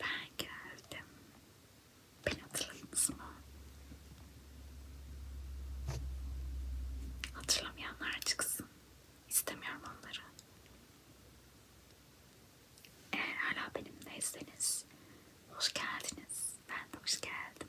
Ben geldim. Beni hatırladınız mı? Hatırlamayanlar çıksın. İstemiyorum onları. Eğer hala benimleyseniz hoş geldiniz. Ben de hoş geldim.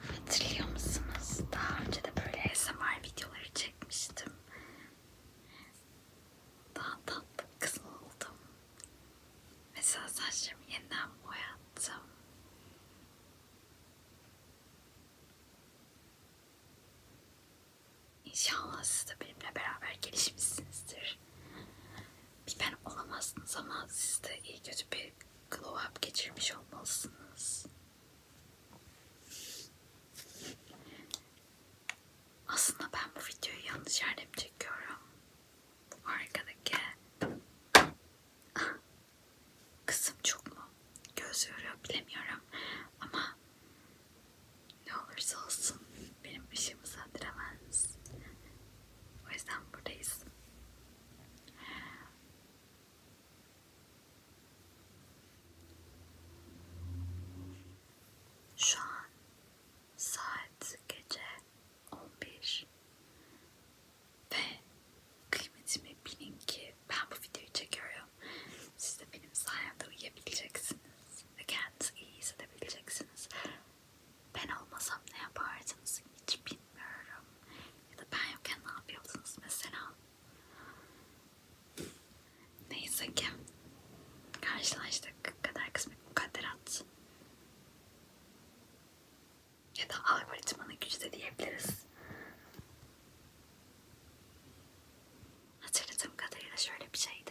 Hatırlıyor musunuz? Daha önce de böyle ASMR videoları çekmiştim. Daha tatlı kız oldum. Mesela saçlarımı yeniden boyattım. İnşallah siz de benimle beraber gelişmişsinizdir. Bir ben olamazsınız ama siz de iyi kötü bir glow up geçirmiş olmalısınız. Aslında ben bu videoyu yanlış yerde mi çekiyorum? Arkadaki kısım çok mu? Göz yoruyor bilemiyorum ama ne olursa olsun benim ışığımı söndüremez. O yüzden buradayız. Şu an saat gece 11 ve kıymetimi bilin ki ben bu videoyu çekiyorum. Siz de benim sayemde uyuyabileceksiniz ve kendinizi iyi hissedebileceksiniz. Ben olmasam ne yapardınız hiç bilmiyorum bilmiyorum. Ya da ben yokken ne yapıyordunuz mesela? Neyse ki karşılaştık. Kader kısmet mukadderat. Ya da algoritmanın gücü de diyebiliriz. Hatırladığım kadarıyla şöyle bir şeydi.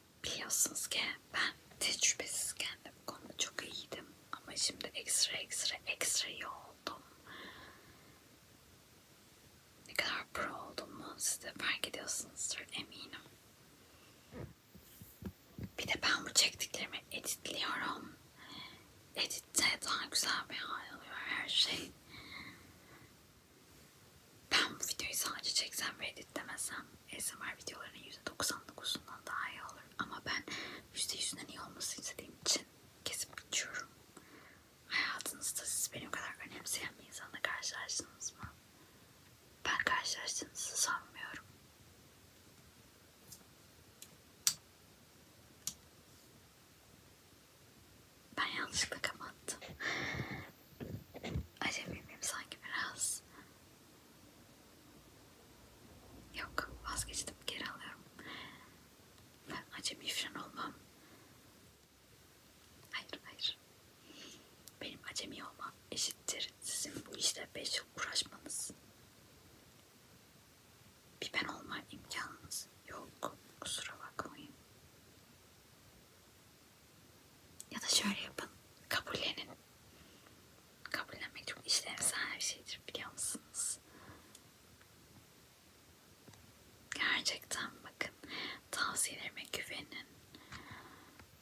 biliyorsunuz ki ben tecrübesizken de bu konuda çok iyiydim ama şimdi ekstra ekstra ekstra iyi oldum. Ne kadar pro olduğumu siz de fark ediyorsunuzdur eminim. Bir de ben bu çektiklerimi editliyorum. Editte daha güzel bir hal alıyor her şey. Ben bu videoyu sadece çeksem ve editlemesem ASMR videolarının %99'undan daha iyi olur. Ama ben %100'ünden iyi olmasını istediğim için kesip geçiyorum. Hayatınızda siz benim kadar önemseyen bir insanla karşılaştınız mı? Ben karşılaştığınızı sanmıyorum ben yanlışlıkla kapattım. Acemi miyim sanki biraz? Yok vazgeçtim geri alıyorum. Ben acemi ifşan olmam. Hayır hayır. Benim acemi olmam eşittir. Sizin bu işte 5 yıl uğraşmanız. Bir ben olma imkanınız yok. Kusura bakmayın. Ya da şöyle yapın. Kabullenin. Kabullenmek çok işlevsel bir şeydir biliyor musunuz? Gerçekten bakın tavsiyelerime güvenin.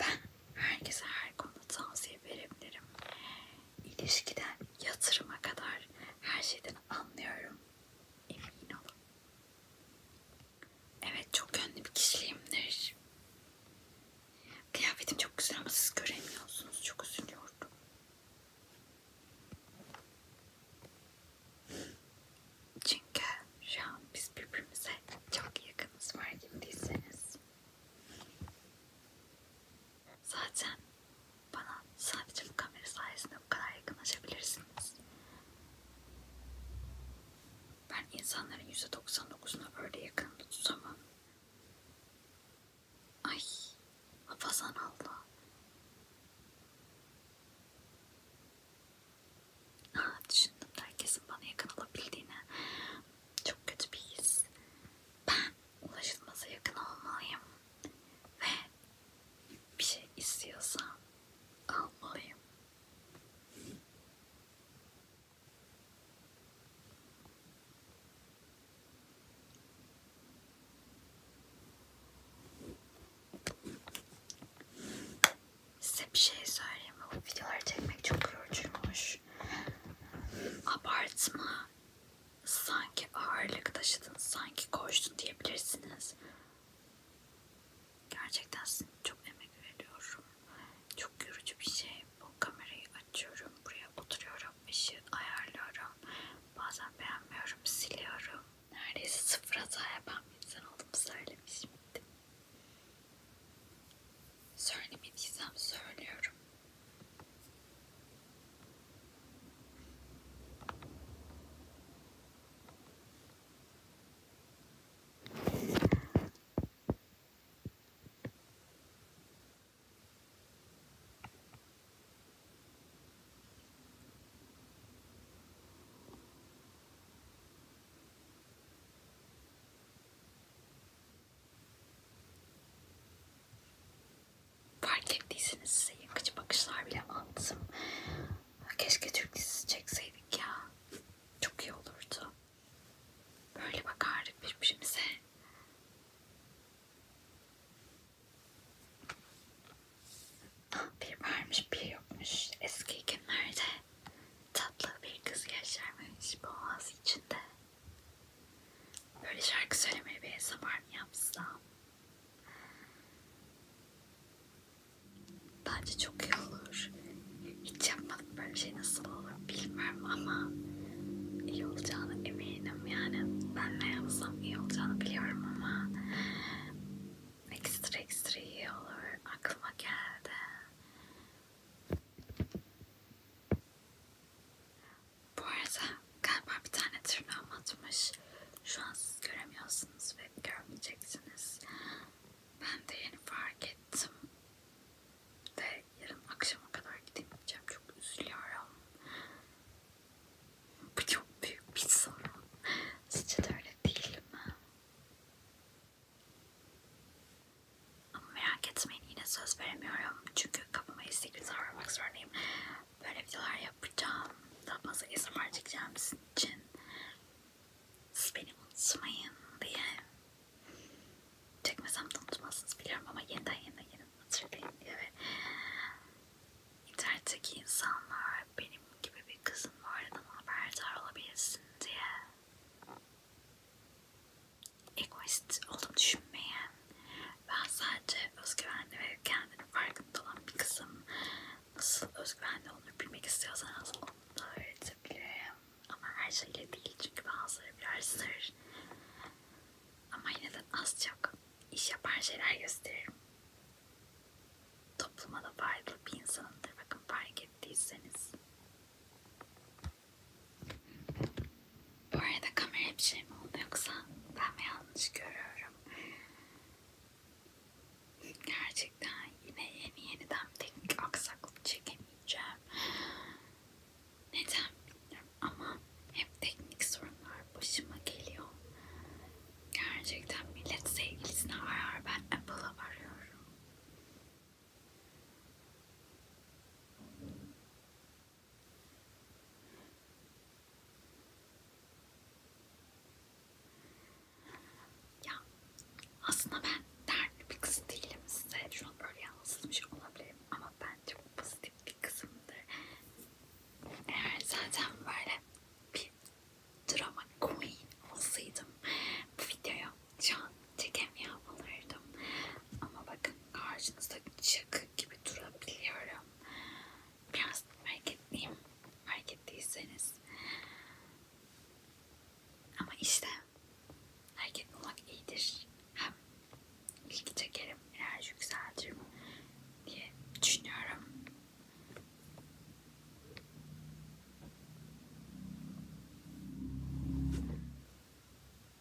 Ben herkese her konuda tavsiye verebilirim. İlişkiden yatırıma kadar her şeyden anlıyorum. Emin olun. Evet çok yönlü bir kişiyimdir. Kıyafetim çok güzel ama siz göremiyorsunuz. Çok üzülüyordum. Çünkü şu an biz birbirimize çok yakınız fark ettiyseniz. Zaten bana sadece bu kamera sayesinde bu kadar yakınlaşabilirsiniz. Ben insanların %99'una böyle yakınımda tutamam. Ay hafazan Allah. Ha, ah, düşündüm de herkesin bana yakın olabildiğini. Çok kötü bir his. Ben ulaşılmasa yakın olmalıyım. Ve bir şey istiyorsam almalıyım. Size bir şey söyleyeyim mi? Bu videoları çekmek çok yorucuymuş. Abartma. Sanki ağırlık taşıdın, sanki koştun diyebilirsiniz. Gerçekten çok emek veriyorum. Çok yorucu bir şey. Bu kamerayı açıyorum. Buraya oturuyorum. ışığı ayarlıyorum. Bazen beğenmiyorum. Siliyorum. Neredeyse sıfır hata yapan bir insan olduğumu söylemiştim. Söylemediysem söylüyorum fark ettiyseniz size yakıcı bakışlar bile attım. Keşke Türk dizisi çekseydik ya. Çok iyi olurdu. Böyle bakardık birbirimize. Ah, bir varmış bir yokmuş. Eski günlerde tatlı bir kız yaşarmış boğaz içinde. Böyle şarkı söylemeli bir hesap mı yapsam? Bence çok iyi olur. Hiç yapmadım böyle şey nasıl olur bilmem ama iyi olacağını eminim yani. Ben ne yapsam iyi olacağını biliyorum ama ekstra ekstra iyi olur. Aklıma geldi. Bu arada galiba bir tane tırnağım atmış. Şu an siz göremiyorsunuz ve görmeyeceksiniz. Ben de yeni fark ettim. Ve yarın akşama kadar gidemeyeceğim. Çok üzülüyorum. Bu çok büyük bir sorun. Sizce de öyle değil mi? Ama merak etmeyin yine söz veremiyorum. Çünkü kapıma istekli sarmak zorundayım. Böyle videolar yapacağım. Daha fazla ASMR çekeceğim sizin için siz beni unutmayın diye çekmesem de unutmazsınız biliyorum ama yeniden yeniden yeniden hatırlayın diye ve internetteki insanlar benim gibi bir kızın varlığından haberdar olabilsin diye egoist olduğumu düşünmeyen ben sadece özgüvenli ve kendini farkında olan bir kızım nasıl özgüvenli olduğunu bilmek istiyorsanız onu da öğretebilirim. Ama her şeyle değil çünkü bazıları biraz sır. Ama yine de az çok iş yapan şeyler gösteririm. Topluma da faydalı bir insanımdır. Bakın fark ettiyseniz. Bu arada kamera bir şey mi oldu yoksa ben mi yanlış görüyorum? Gerçekten yine yeni yeniden teknik aksaklık çekemeyeceğim. Neden bilmiyorum ama hep teknik sorunlar başıma geliyor. Gerçekten millet sevgilisini arar ben Apple'a arıyorum. Ya aslında ben dertli bir kız değilim size. Şu an böyle yalnızmış olabilirim ama ben çok pozitif bir kızımdır. Eğer zaten böyle bir drama queen olsaydım bu videoyu şu an çekemiyor olurdum. Ama bakın karşınızda şaka gibi durabiliyorum biraz hareketliyim fark ettiyseniz ama işte hareketli olmak iyidir hem bilgi çekerim enerji yükseltirim diye düşünüyorum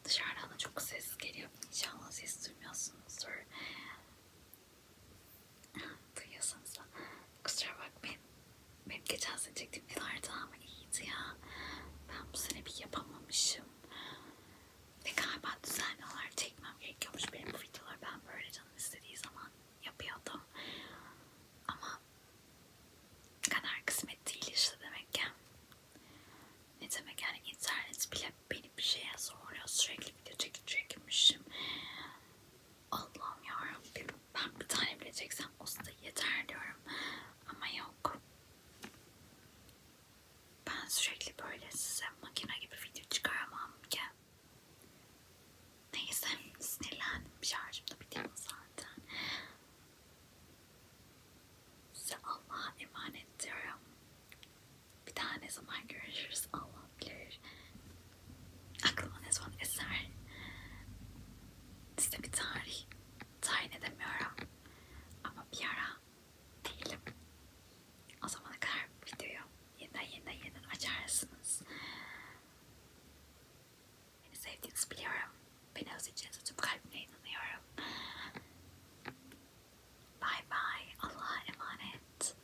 dışarıdan da çok ses geliyor İnşallah ses duymuyorsunuzdur Duyuyorsanız da kusura bakmayın. Benim geçen sene çektiğim videolar daha mı iyiydi ya? Ben bu sene bir yapamamışım. Ve galiba düzenli olarak çekmem gerekiyormuş benim bu videoları. Ben böyle canım istediği zaman yapıyordum. Ama kadar kısmet değil işte demek ki. Ne demek yani internet bile beni bir şeye zorluyor. Sürekli video çekip çekmişim. Allah'ım yarabbim ben bir tane bile çeksem o da yeter diyorum ama yok. Ben sürekli böyle size makine gibi video çıkaramam ki. Neyse sinirlendim şarjım da bitiyor zaten. Size Allah'a emanet diyorum. Bir daha ne zaman görüşürüz Allah bilir aklıma ne zaman eser size bir tarih tayin edemiyorum ama bir ara değilim o zamana kadar videoyu yeniden yeniden yeniden açarsınız beni sevdiğinizi biliyorum beni özleyeceğinize tüm kalbimle inanıyorum bye bye Allah'a emanet